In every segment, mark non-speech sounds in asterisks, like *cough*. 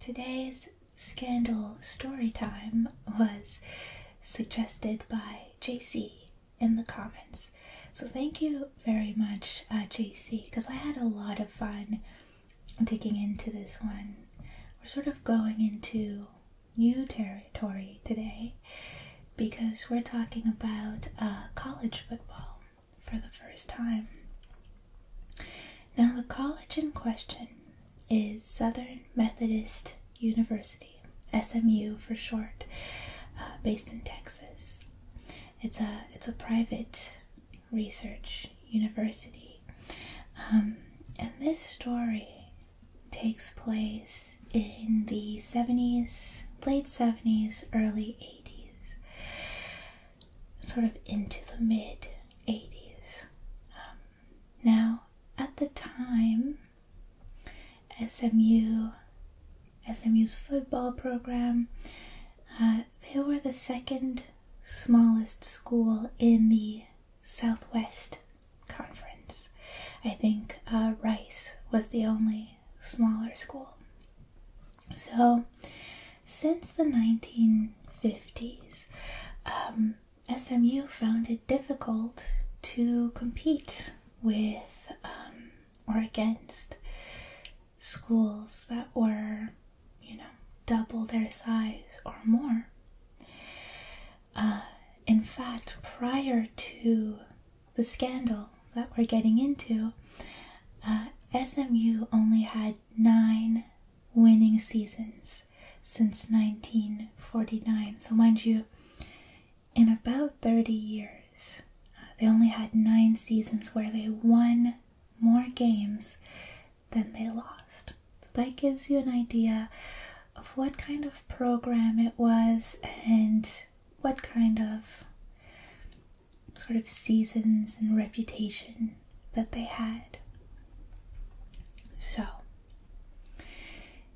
Today's scandal story time was suggested by JC in the comments. So thank you very much, uh, JC, because I had a lot of fun digging into this one. We're sort of going into new territory today because we're talking about uh, college football for the first time. Now, the college in question is Southern Methodist University, SMU for short, uh, based in Texas. It's a it's a private research university, um, and this story takes place in the seventies, late seventies, early eighties sort of into the mid 80s. Um, now, at the time, SMU, SMU's football program, uh, they were the second smallest school in the Southwest Conference. I think uh, Rice was the only smaller school. So since the 1950s, um, SMU found it difficult to compete with um, or against schools that were, you know, double their size or more. Uh, in fact, prior to the scandal that we're getting into, uh, SMU only had nine winning seasons since 1949. So, mind you, in about 30 years, uh, they only had nine seasons where they won more games than they lost. So, that gives you an idea of what kind of program it was and what kind of sort of seasons and reputation that they had. So,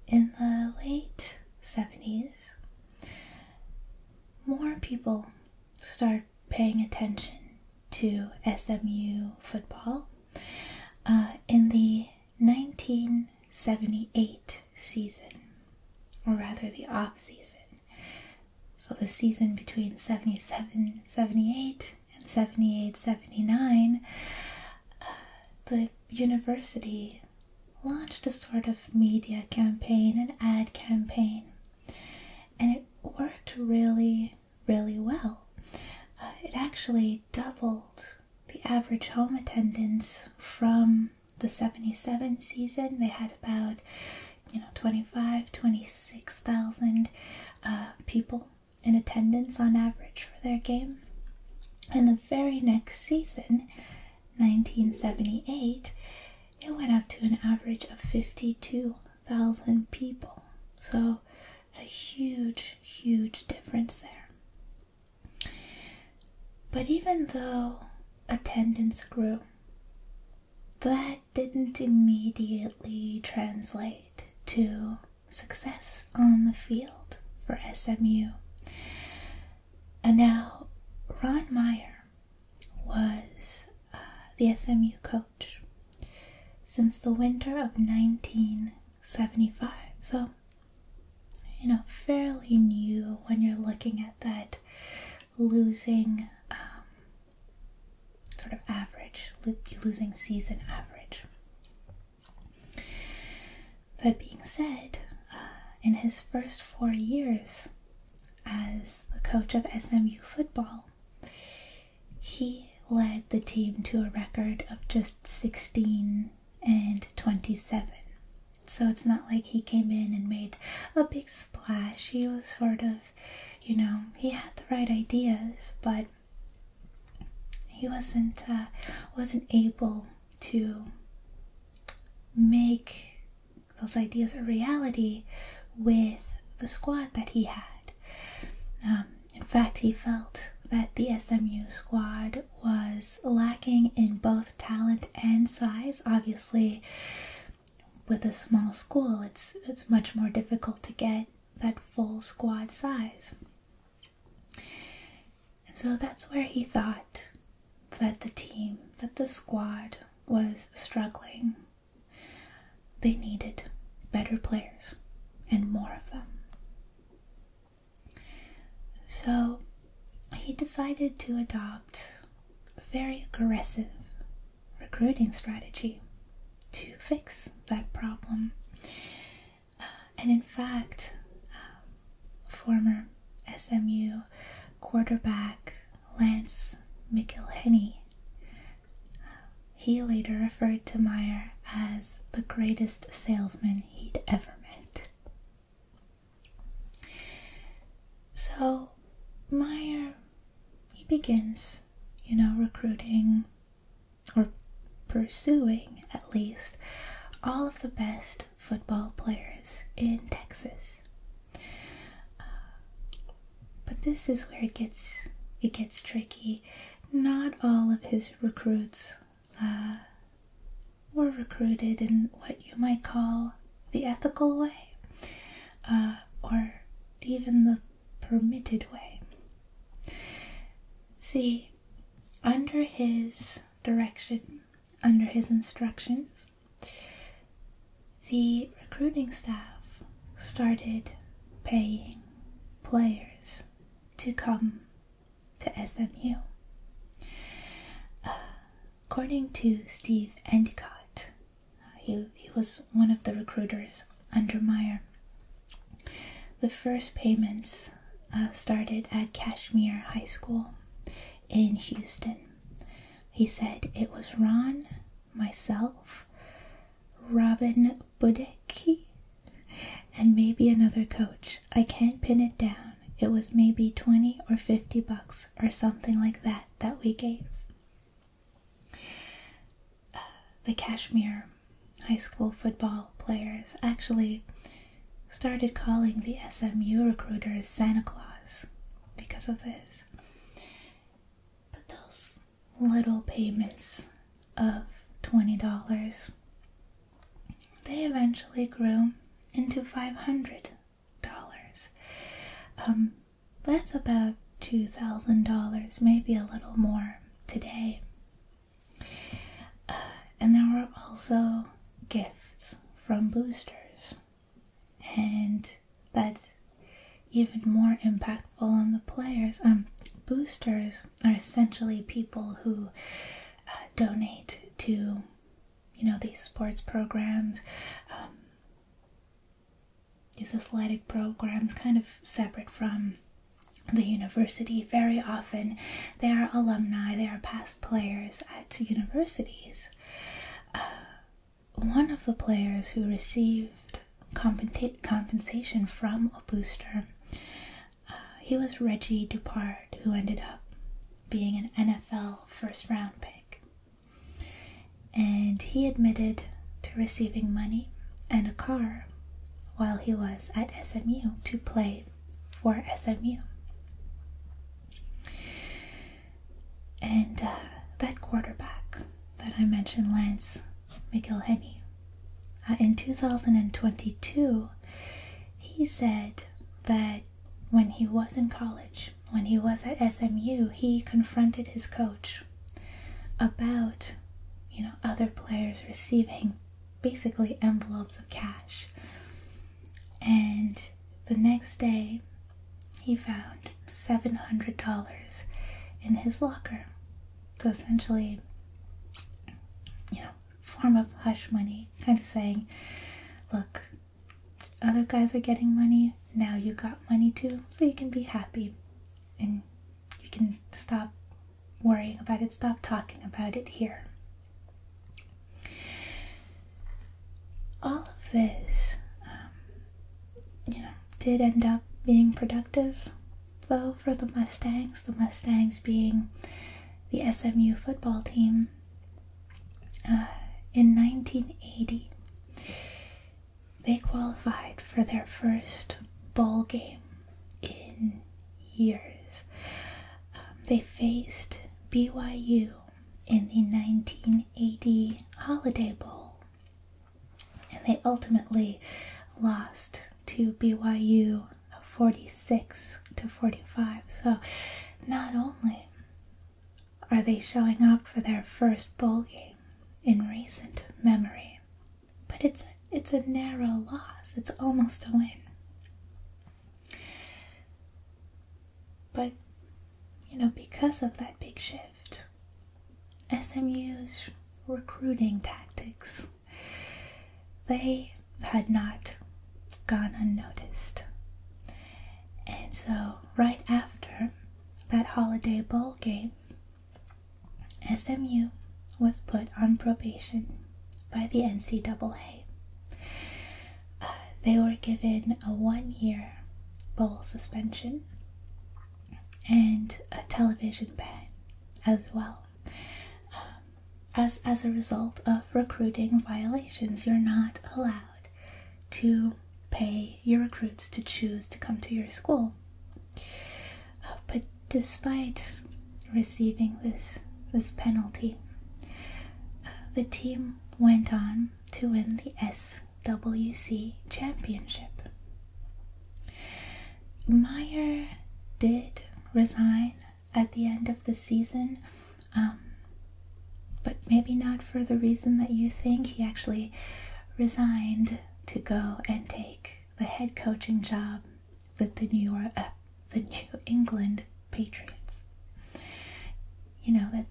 in the late 70s, more people start paying attention to SMU football. Uh, in the 1978 season, or rather the off season, so the season between 77 78 in 78 79, uh, the university launched a sort of media campaign, and ad campaign, and it worked really, really well. Uh, it actually doubled the average home attendance from the 77 season. They had about you know 25 26,000 uh, people in attendance on average for their game. And the very next season, 1978, it went up to an average of 52,000 people. So, a huge, huge difference there. But even though attendance grew, that didn't immediately translate to success on the field for SMU. And now, Ron Meyer was uh, the SMU coach since the winter of 1975. So, you know, fairly new when you're looking at that losing um, sort of average, losing season average. That being said, uh, in his first four years as the coach of SMU football, he led the team to a record of just 16 and 27. So it's not like he came in and made a big splash. He was sort of, you know, he had the right ideas, but he wasn't uh, wasn't able to make those ideas a reality with the squad that he had. Um, in fact, he felt that the SMU squad was lacking in both talent and size. Obviously, with a small school, it's it's much more difficult to get that full squad size. And so that's where he thought that the team, that the squad was struggling. They needed better players and more of them. So he decided to adopt very aggressive recruiting strategy to fix that problem. Uh, and in fact, uh, former SMU quarterback Lance McIlhenny, uh, he later referred to Meyer as the greatest salesman he'd ever met. So Meyer, he begins, you know, recruiting or pursuing at least, all of the best football players in Texas. Uh, but this is where it gets it gets tricky. Not all of his recruits uh, were recruited in what you might call the ethical way, uh, or even the permitted way. See, under his direction, under his instructions, the recruiting staff started paying players to come to SMU. Uh, according to Steve Endicott, he, he was one of the recruiters Undermeyer. The first payments uh, started at Kashmir High School in Houston. He said it was Ron, myself, Robin Budecki, and maybe another coach. I can't pin it down. It was maybe 20 or 50 bucks or something like that that we gave. Uh, the Kashmir high school football players actually started calling the SMU recruiters Santa Claus because of this. But those little payments of $20, they eventually grew into $500. Um, that's about $2,000, maybe a little more today. Uh, and there were also gifts from boosters, and that's even more impactful on the players. Um, boosters are essentially people who uh, donate to, you know, these sports programs. Um, these athletic programs kind of separate from the university very often they are alumni they are past players at universities uh, one of the players who received compensation from a booster uh, he was reggie dupard who ended up being an nfl first round pick and he admitted to receiving money and a car while he was at SMU to play for SMU. And uh, that quarterback that I mentioned, Lance McIlhenny, uh, in 2022, he said that when he was in college, when he was at SMU, he confronted his coach about you know other players receiving basically envelopes of cash and the next day he found $700 in his locker so essentially you know form of hush money kind of saying look other guys are getting money now you got money too so you can be happy and you can stop worrying about it, stop talking about it here. All of this, um, you know, did end up being productive, though, for the Mustangs, the Mustangs being the SMU football team. Uh, in 1980, they qualified for their first bowl game in years. Um, they faced BYU in the 1980 Holiday Bowl, and they ultimately lost to BYU 46 to 45. So, not only are they showing up for their first bowl game in recent memory, but it's a, it's a narrow loss. It's almost a win. But you know, because of that big shift, SMU's recruiting tactics they had not gone unnoticed. And so right after that holiday bowl game SMU was put on probation by the NCAA. Uh, they were given a one year bowl suspension and a television ban as well. Um, as, as a result of recruiting violations, you're not allowed to pay your recruits to choose to come to your school. Uh, but despite receiving this this penalty, uh, the team went on to win the SWC championship. Meyer did resign at the end of the season, um, but maybe not for the reason that you think. He actually resigned to go and take the head coaching job with the New York, uh, the New England Patriots. You know that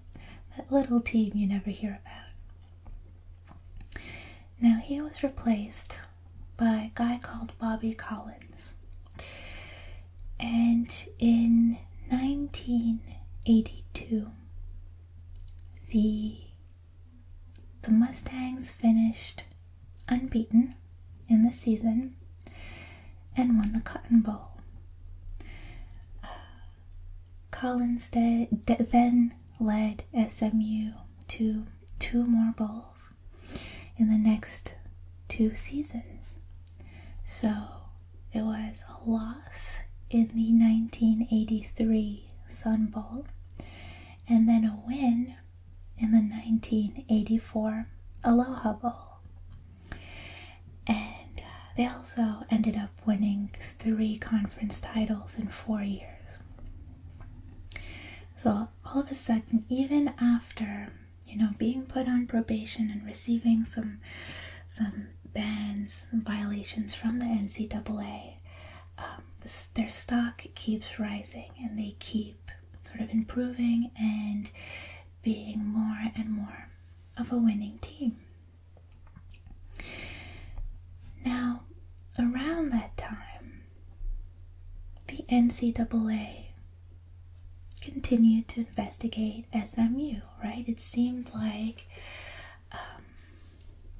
that little team you never hear about. Now he was replaced by a guy called Bobby Collins, and in 1982, the the Mustangs finished unbeaten in the season and won the Cotton Bowl. Uh, Collins then led SMU to two more bowls in the next two seasons. So it was a loss in the 1983 Sun Bowl and then a win in the 1984 Aloha Bowl. And uh, they also ended up winning three conference titles in four years. So all of a sudden, even after you know being put on probation and receiving some some bans violations from the NCAA, um, their stock keeps rising and they keep sort of improving and being more and more of a winning team. Now, around that time, the NCAA continued to investigate SMU, right? It seemed like um,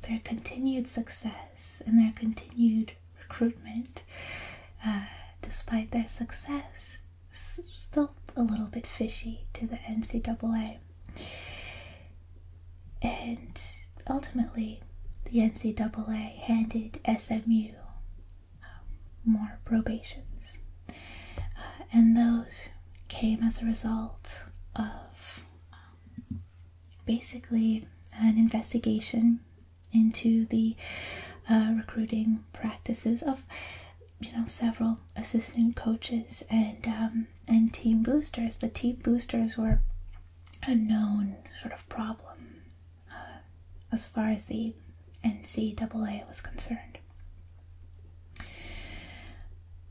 their continued success and their continued recruitment, uh, despite their success, still a little bit fishy to the NCAA. And ultimately, the NCAA handed SMU um, more probations, uh, and those came as a result of um, basically an investigation into the uh, recruiting practices of you know several assistant coaches and um, and team boosters. The team boosters were a known sort of problem uh, as far as the NCAA was concerned.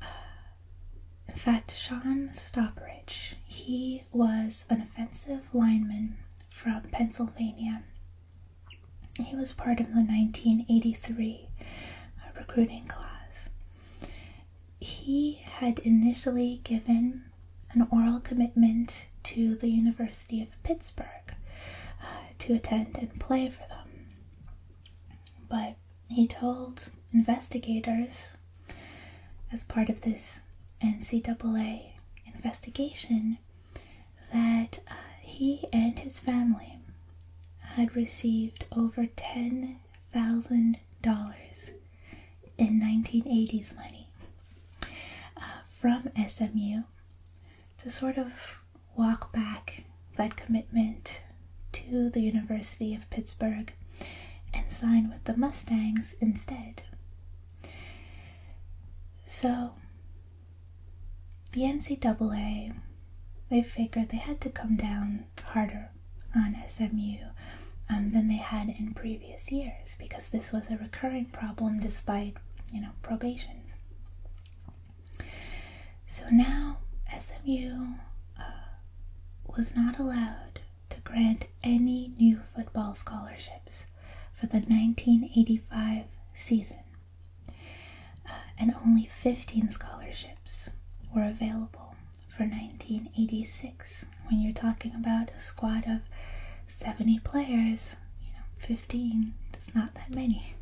Uh, in fact, Sean Stoppridge, he was an offensive lineman from Pennsylvania. He was part of the 1983 uh, recruiting class. He had initially given an oral commitment to the University of Pittsburgh uh, to attend and play for them. But he told investigators as part of this NCAA investigation that uh, he and his family had received over $10,000 in 1980s money uh, from SMU to sort of walk back that commitment to the University of Pittsburgh and signed with the Mustangs instead. So, the NCAA, they figured they had to come down harder on SMU um, than they had in previous years because this was a recurring problem despite, you know, probation. So now SMU uh, was not allowed to grant any new football scholarships for the 1985 season, uh, and only 15 scholarships were available for 1986. When you're talking about a squad of 70 players, you know, 15 is not that many.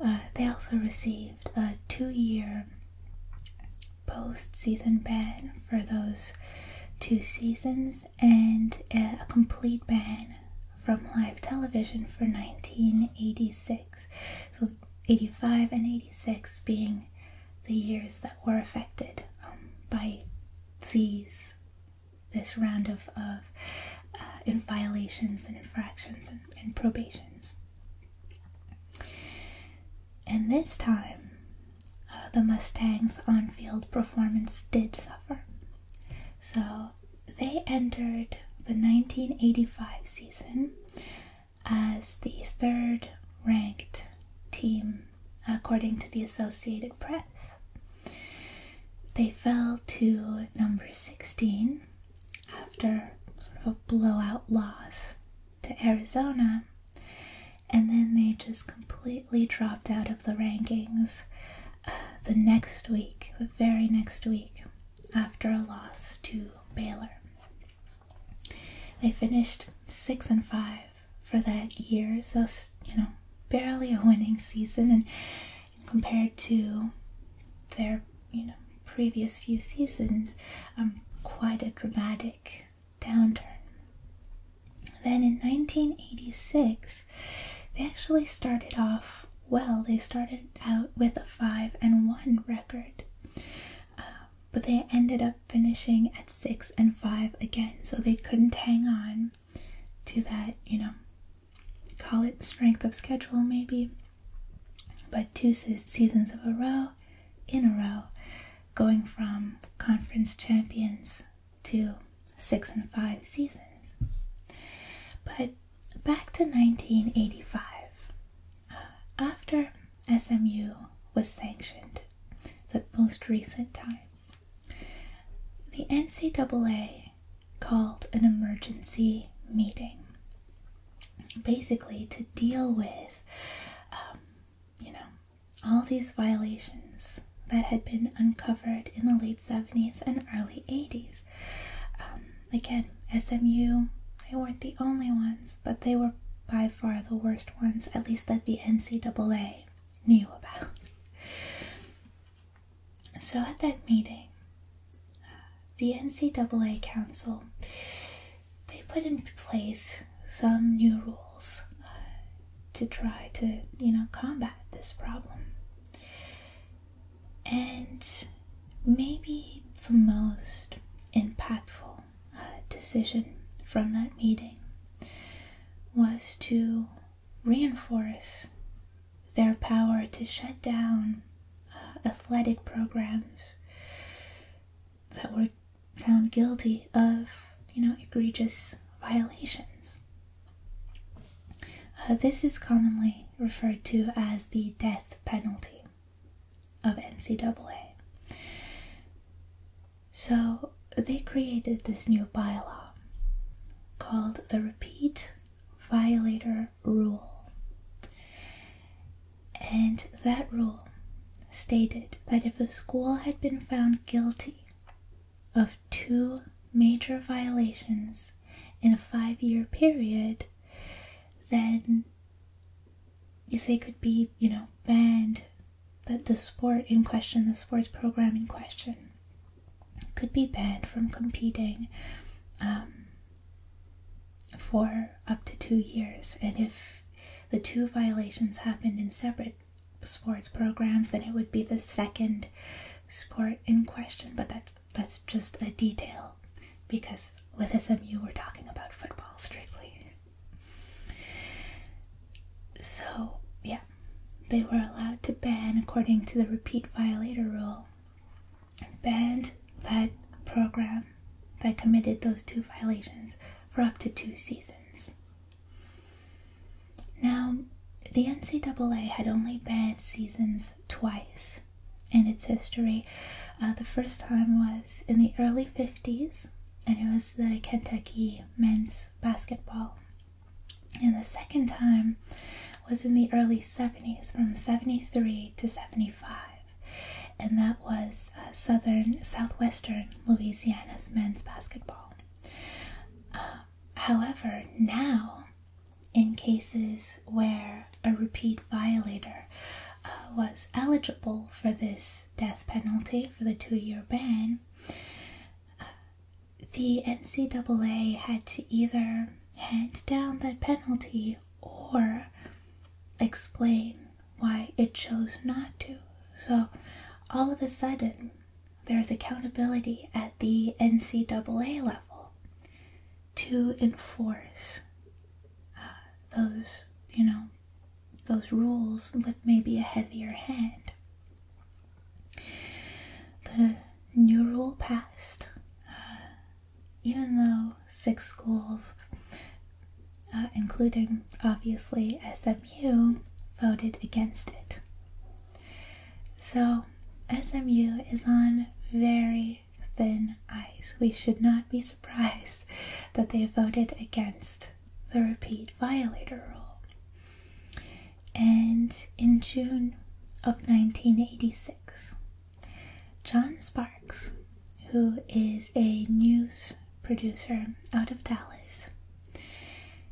Uh, they also received a two year Post-season ban for those two seasons and a complete ban from live television for 1986. So 85 and 86 being the years that were affected um, by these this round of, of uh, violations and infractions and, and probations. And this time, uh, the Mustangs' on field performance did suffer. So they entered the 1985 season as the third ranked team according to the Associated Press. They fell to number 16 after sort of a blowout loss to Arizona, and then they just completely dropped out of the rankings uh, the next week, the very next week, after a loss to Baylor. They finished six and five for that year, so you know, barely a winning season, and compared to their you know previous few seasons, um, quite a dramatic downturn. Then in 1986, they actually started off well. They started out with a 5 and 1 record, uh, but they ended up finishing at 6 and 5 again, so they couldn't hang on to that, you know, call it strength of schedule maybe. But two seasons of a row, in a row, going from conference champions to six and five seasons. But back to 1985, uh, after SMU was sanctioned, the most recent time, the NCAA called an emergency meeting basically to deal with, um, you know, all these violations that had been uncovered in the late 70s and early 80s. Um, again, SMU, they weren't the only ones, but they were by far the worst ones, at least that the NCAA knew about. So at that meeting, uh, the NCAA Council they put in place some new rules uh, to try to, you know, combat this problem. And maybe the most impactful uh, decision from that meeting was to reinforce their power to shut down uh, athletic programs that were found guilty of, you know, egregious violations. Uh, this is commonly referred to as the death penalty of NCAA. So they created this new bylaw called the Repeat Violator Rule. And that rule stated that if a school had been found guilty of two major violations in a five year period, then if they could be, you know, banned, that the sport in question, the sports program in question, could be banned from competing um, for up to two years. And if the two violations happened in separate sports programs, then it would be the second sport in question. But that that's just a detail because with SMU we're talking about football strictly. So yeah, they were allowed to ban according to the repeat violator rule. Banned that program that committed those two violations for up to two seasons. Now, the NCAA had only banned seasons twice in its history. Uh, the first time was in the early 50s, and it was the Kentucky men's basketball. And the second time was in the early 70s, from 73 to 75. And that was uh, southern southwestern Louisiana's men's basketball. Uh, however, now in cases where a repeat violator uh, was eligible for this death penalty for the two-year ban, the NCAA had to either hand down that penalty or explain why it chose not to. So all of a sudden, there's accountability at the NCAA level to enforce uh, those, you know, those rules with maybe a heavier hand. The new rule passed, uh, even though six schools uh, including obviously SMU, voted against it. So, SMU is on very thin ice. We should not be *laughs* surprised that they voted against the repeat violator rule. And in June of 1986, John Sparks, who is a news producer out of Dallas,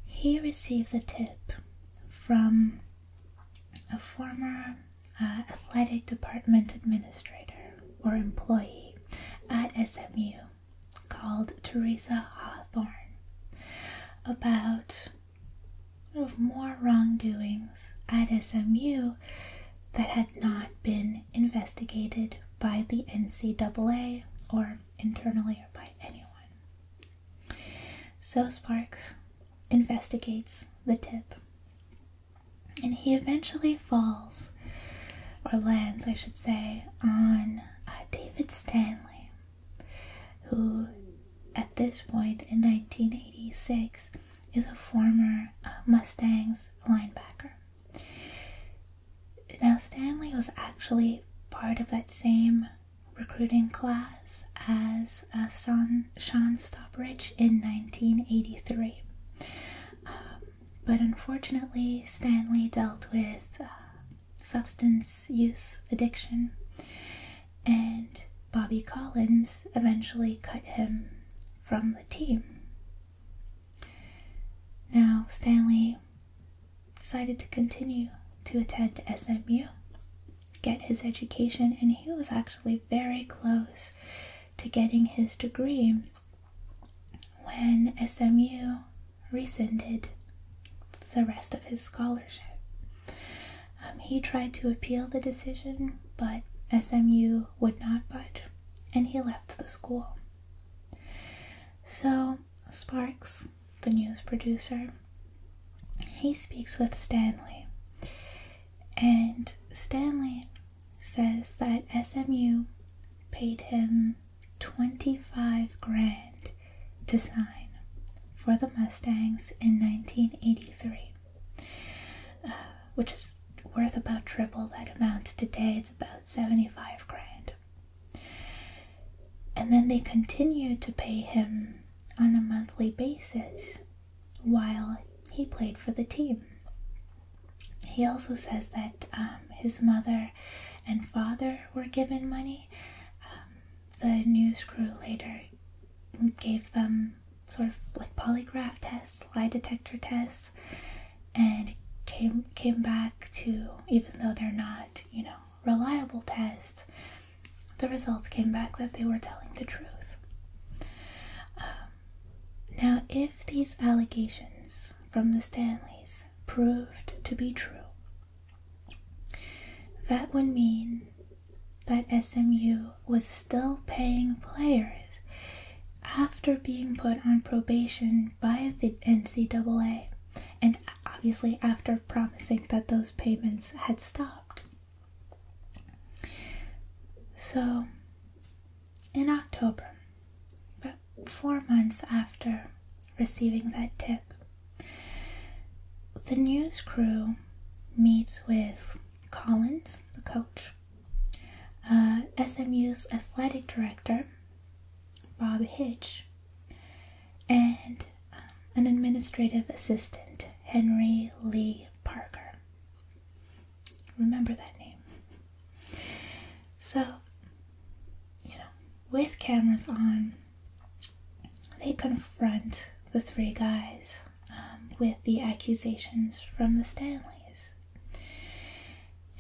he receives a tip from a former uh, athletic department administrator or employee at SMU called Teresa Hawthorne about more wrongdoings at SMU that had not been investigated by the NCAA or internally or by anyone. So Sparks investigates the tip and he eventually falls, or lands, I should say, on uh, David Stanley, who at this point in 1986 is a former uh, Mustangs linebacker. Now, Stanley was actually part of that same recruiting class as uh, Sean Stopbridge in 1983. Um, but unfortunately, Stanley dealt with uh, substance use addiction, and Bobby Collins eventually cut him from the team. Now, Stanley decided to continue to attend SMU, get his education, and he was actually very close to getting his degree when SMU rescinded the rest of his scholarship. Um, he tried to appeal the decision, but SMU would not budge, and he left the school. So Sparks, the news producer, he speaks with Stanley. And Stanley says that SMU paid him 25 grand to sign for the Mustangs in 1983, uh, which is worth about triple that amount today. It's about 75 grand. And then they continued to pay him on a monthly basis while he played for the team. He also says that um, his mother and father were given money. Um, the news crew later gave them sort of like polygraph tests, lie detector tests, and came came back to even though they're not you know reliable tests the results came back that they were telling the truth um, now if these allegations from the stanleys proved to be true that would mean that SMU was still paying players after being put on probation by the NCAA and obviously after promising that those payments had stopped. So, in October, about four months after receiving that tip, the news crew meets with Collins, the coach, uh, SMU's athletic director, Bob Hitch, and um, an administrative assistant, Henry Lee Parker. Remember that name. So, you know, with cameras on, they confront the three guys um, with the accusations from the Stanleys.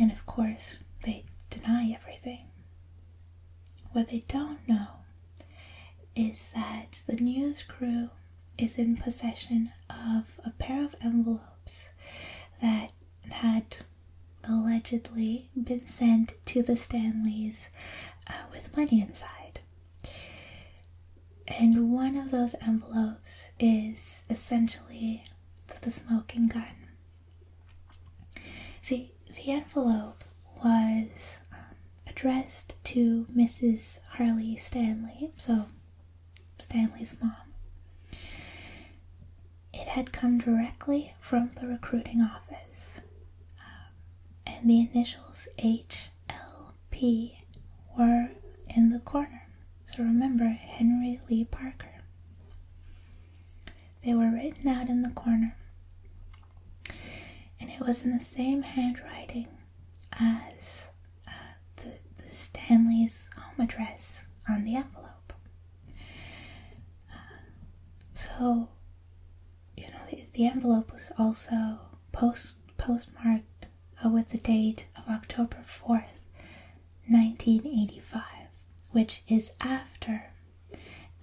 And of course, they deny everything. What they don't know is that the news crew is in possession of a pair of envelopes that had allegedly been sent to the Stanleys uh, with money inside. And one of those envelopes is essentially the smoking gun See, the envelope was um, addressed to Mrs. Harley Stanley, so Stanley's mom. It had come directly from the recruiting office, um, and the initials HLP were in the corner. So remember Henry Lee Parker. They were written out in the corner, and it was in the same handwriting as uh, the, Stanley's home address on the envelope. Uh, so, you know, the, envelope was also post postmarked uh, with the date of October 4th, 1985, which is after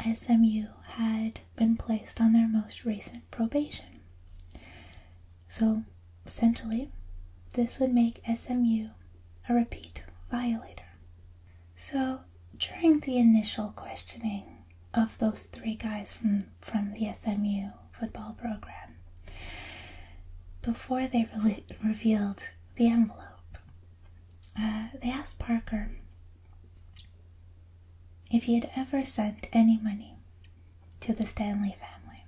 SMU had been placed on their most recent probation. So essentially, this would make SMU a repeat violator. So during the initial questioning of those three guys from, from the SMU football program, before they revealed the envelope, uh, they asked Parker if he had ever sent any money to the Stanley family.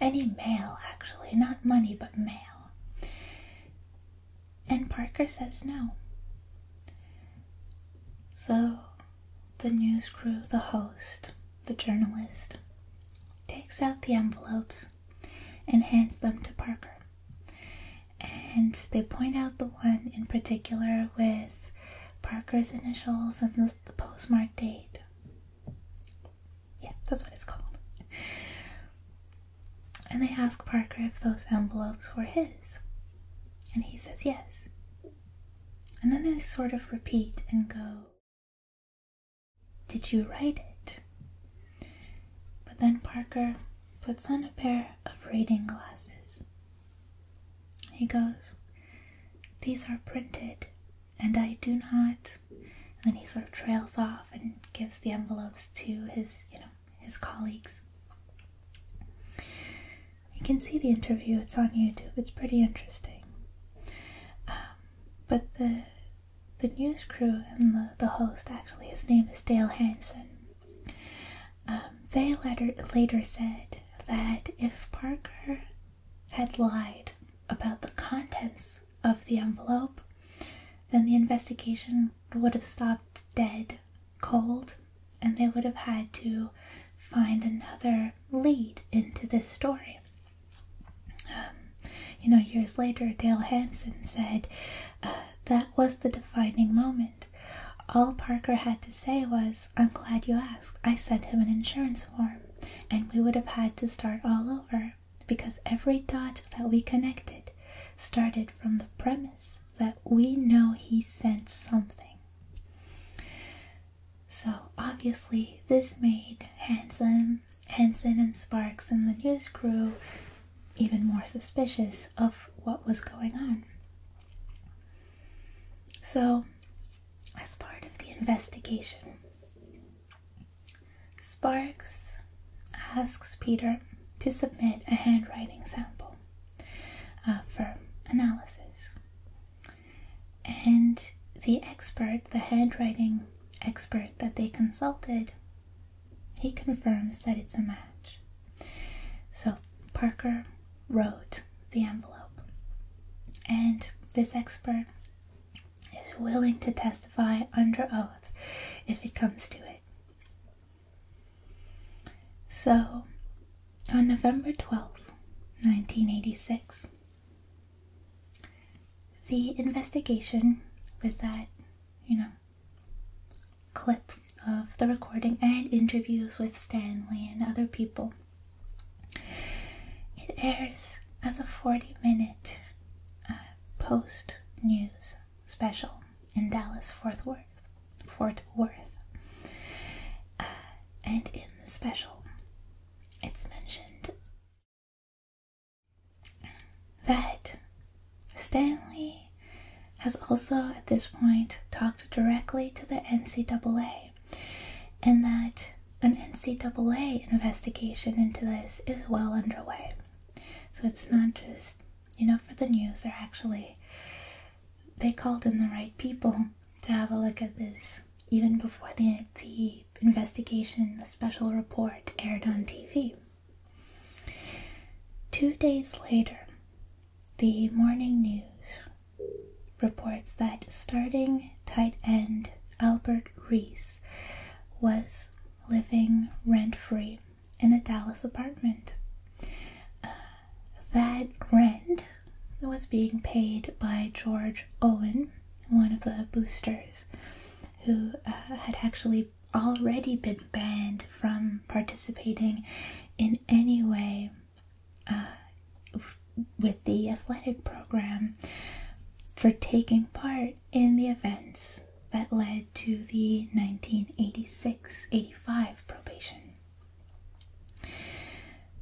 Any mail, actually, not money, but mail. And Parker says no. So the news crew, the host, the journalist, takes out the envelopes and hands them to Parker. And they point out the one in particular with Parker's initials and the, the postmark date. Yeah, that's what it's called. And they ask Parker if those envelopes were his. And he says yes. And then they sort of repeat and go, Did you write it? But then Parker puts on a pair of reading glasses. He goes, These are printed, and I do not. And then he sort of trails off and gives the envelopes to his, you know, his colleagues. You can see the interview, it's on YouTube, it's pretty interesting. Um, but the the news crew and the, host, actually, his name is Dale Hansen, um, they later, said that if Parker had lied about the contents of the envelope, then the investigation would have stopped dead cold and they would have had to find another lead into this story. Um, you know, years later, Dale Hansen said uh, that was the defining moment. All Parker had to say was, I'm glad you asked. I sent him an insurance form, and we would have had to start all over because every dot that we connected started from the premise that we know he sent something. So obviously, this made Hanson, Hanson, and Sparks and the news crew even more suspicious of what was going on. So, as part of the investigation, Sparks asks Peter to submit a handwriting sample uh, for analysis. And the expert, the handwriting expert that they consulted, he confirms that it's a match. So Parker wrote the envelope, and this expert is willing to testify under oath if it comes to it. So, on November 12th, 1986, the investigation with that, you know, clip of the recording and interviews with Stanley and other people. It airs as a 40 minute uh, post news special in Dallas, Fort Worth. Fort Worth. Uh, and in the special, it's mentioned that Stanley has also at this point talked directly to the NCAA, and that an NCAA investigation into this is well underway. So it's not just, you know, for the news, they're actually, they called in the right people to have a look at this even before the, investigation, the special report aired on TV. Two days later, the morning news reports that starting tight end Albert Reese was living rent free in a Dallas apartment. Uh, that rent was being paid by George Owen, one of the boosters who uh, had actually already been banned from participating in any way uh, with the athletic program for taking part in the events that led to the 1986 85 probation.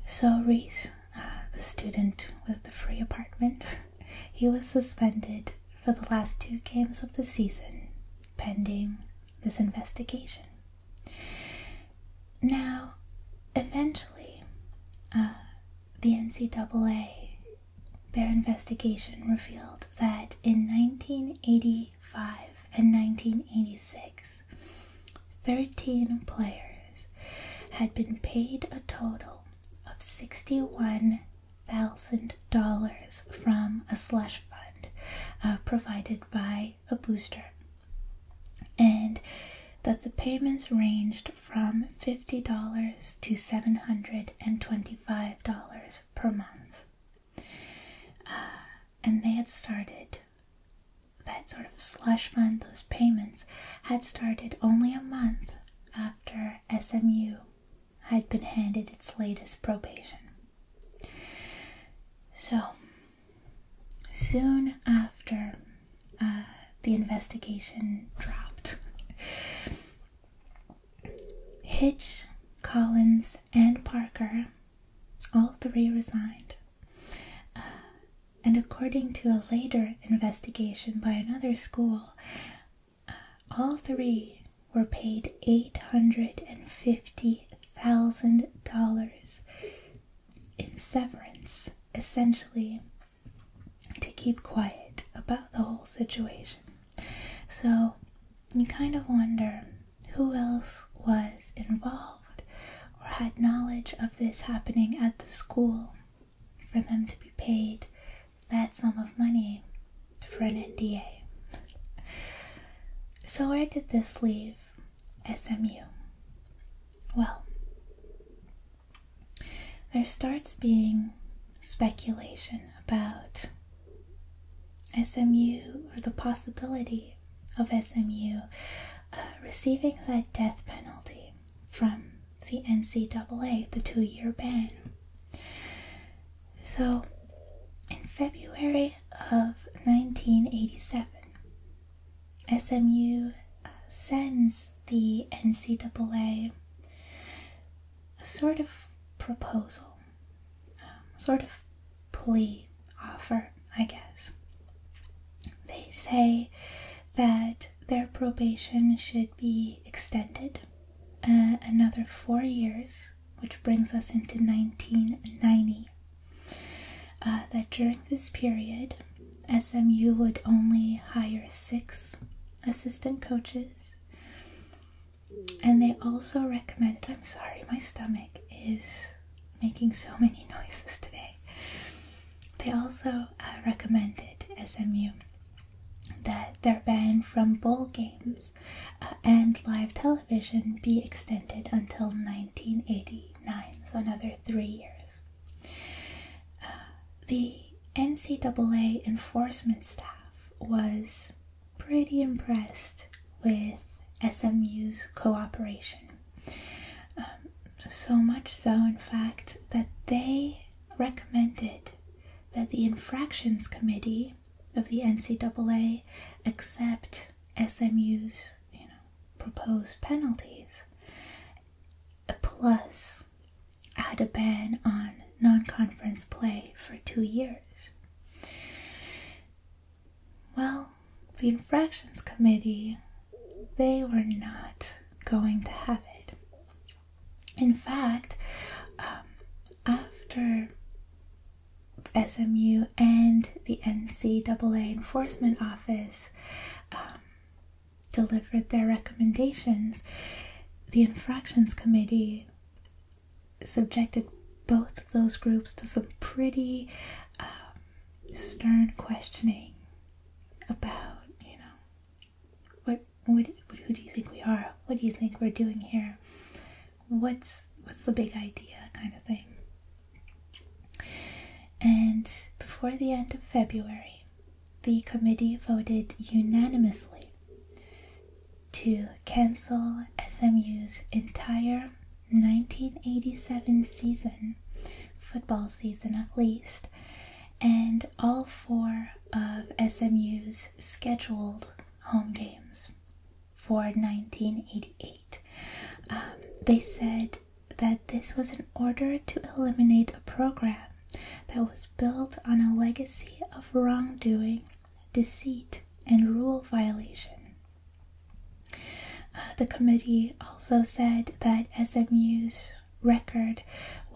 So, Reese, uh, the student with the free apartment, *laughs* he was suspended for the last two games of the season pending this investigation. Now, eventually, uh, the NCAA, their investigation revealed that in 1985 and 1986, 13 players had been paid a total of 61 thousand dollars from a slush fund uh, provided by a booster, and that the payments ranged from fifty dollars to seven hundred and twenty-five dollars per month. Uh, and they had started that sort of slush fund, those payments had started only a month after SMU had been handed its latest probation. So, soon after uh, the investigation dropped, Hitch, Collins, and Parker all three resigned. Uh, and according to a later investigation by another school, all three were paid $850,000 in severance, essentially, to keep quiet about the whole situation. So you kind of wonder who else was involved or had knowledge of this happening at the school for them to be paid that sum of money for an NDA. So, where did this leave SMU? Well, there starts being speculation about SMU or the possibility of SMU uh, receiving that death penalty from the NCAA, the two year ban. So, in February of 1987, SMU uh, sends the NCAA a sort of proposal, um, sort of plea offer, I guess. They say that their probation should be extended uh, another four years which brings us into 1990. Uh, that during this period, SMU would only hire six assistant coaches, and they also recommended. I'm sorry, my stomach is making so many *laughs* noises today. They also uh, recommended SMU that they're banned from bowl games uh, and live television be extended until 1989, so another three years. Uh, the NCAA enforcement staff was pretty impressed with SMU's cooperation. Um, so much so, in fact, that they recommended that the Infractions Committee of the NCAA accept SMU's you know proposed penalties, plus add a ban on non-conference play for two years. Well, the infractions committee they were not going to have it. In fact, um, after SMU and the NCAA Enforcement Office um, delivered their recommendations, the Infractions Committee subjected both of those groups to some pretty um, stern questioning about, you know, what, what, who do you think we are? What do you think we're doing here? what's what's the big idea kind of thing. And before the end of February, the committee voted unanimously to cancel SMU's entire 1987 season, football season at least, and all four of SMU's scheduled home games for 1988. Um, they said that this was an order to eliminate a program that was built on a legacy of wrongdoing, deceit, and rule violation. Uh, the committee also said that SMU's record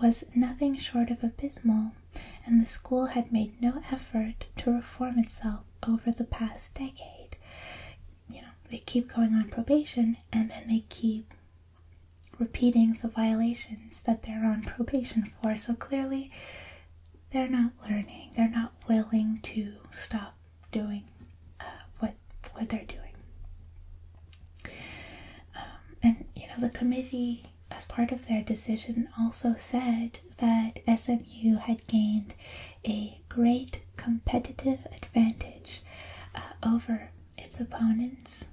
was nothing short of abysmal and the school had made no effort to reform itself over the past decade. You know, they keep going on probation and then they keep repeating the violations that they're on probation for. So clearly, they're not learning, they're not willing to stop doing uh, what, what they're doing. Um, and you know, the committee as part of their decision, also said that SMU had gained a great competitive advantage uh, over its opponents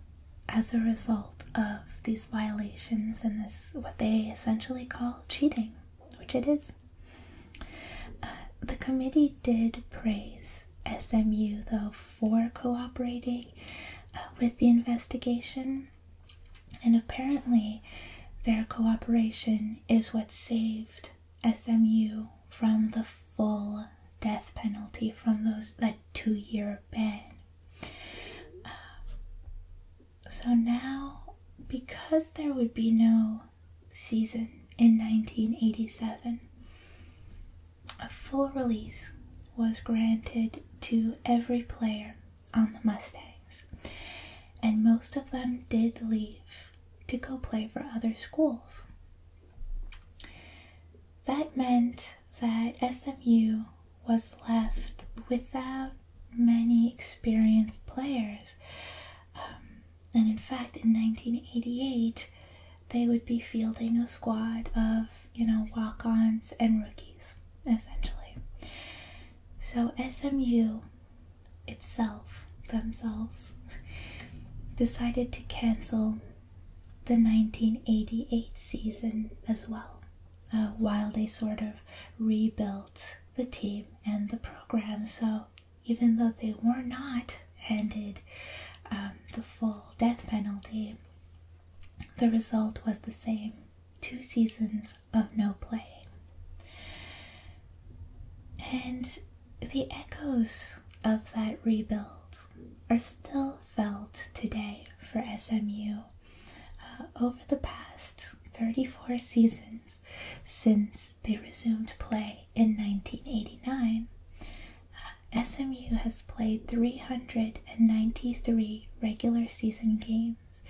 as a result of these violations and this what they essentially call cheating, which it is. Uh, the committee did praise SMU though for cooperating uh, with the investigation and apparently, their cooperation is what saved SMU from the full death penalty from those that two year ban. Uh, so now, because there would be no season in 1987, a full release was granted to every player on the Mustangs, and most of them did leave to go play for other schools. That meant that SMU was left without many experienced players. Um, and in fact, in 1988, they would be fielding a squad of, you know, walk ons and rookies, essentially. So SMU itself, themselves, *laughs* decided to cancel the 1988 season as well, uh, while they sort of rebuilt the team and the program. So even though they were not handed um, the full death penalty, the result was the same. Two seasons of no play, And the echoes of that rebuild are still felt today for SMU. Uh, over the past 34 seasons since they resumed play in 1989, uh, SMU has played 393 regular season games,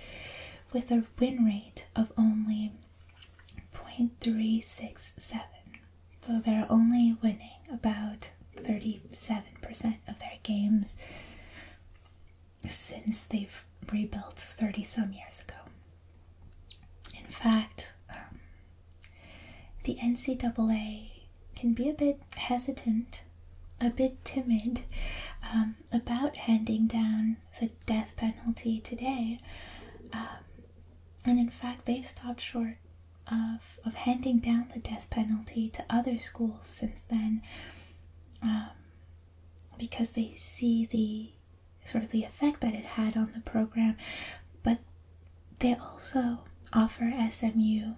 with a win rate of only 0.367. So they're only winning about 37% of their games since they've rebuilt 30 some years ago. In fact, um, the NCAA can be a bit hesitant, a bit timid um, about handing down the death penalty today. Um, and in fact, they've stopped short of, of handing down the death penalty to other schools since then um, because they see the sort of the effect that it had on the program. But they also offer SMU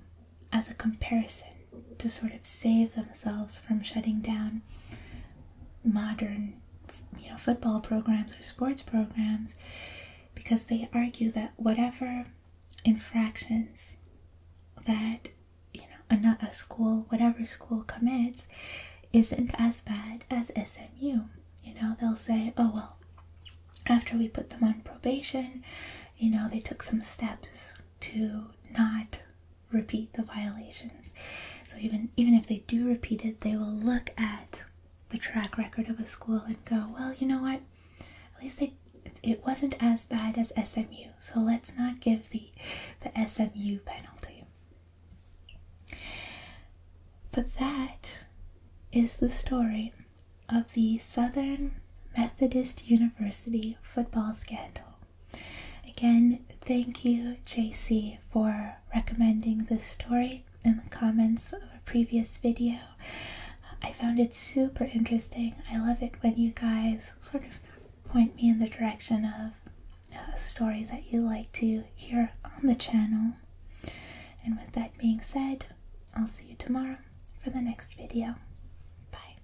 as a comparison to sort of save themselves from shutting down modern you know football programs or sports programs because they argue that whatever infractions that you know a, a school whatever school commits isn't as bad as SMU you know they'll say oh well after we put them on probation you know they took some steps to not repeat the violations. So even even if they do repeat it, they will look at the track record of a school and go, well, you know what? At least it wasn't as bad as SMU, so let's not give the the SMU penalty. But that is the story of the Southern Methodist University football scandal. Again, thank you, JC, for recommending this story in the comments of a previous video. I found it super interesting. I love it when you guys sort of point me in the direction of uh, a story that you like to hear on the channel. And with that being said, I'll see you tomorrow for the next video. Bye.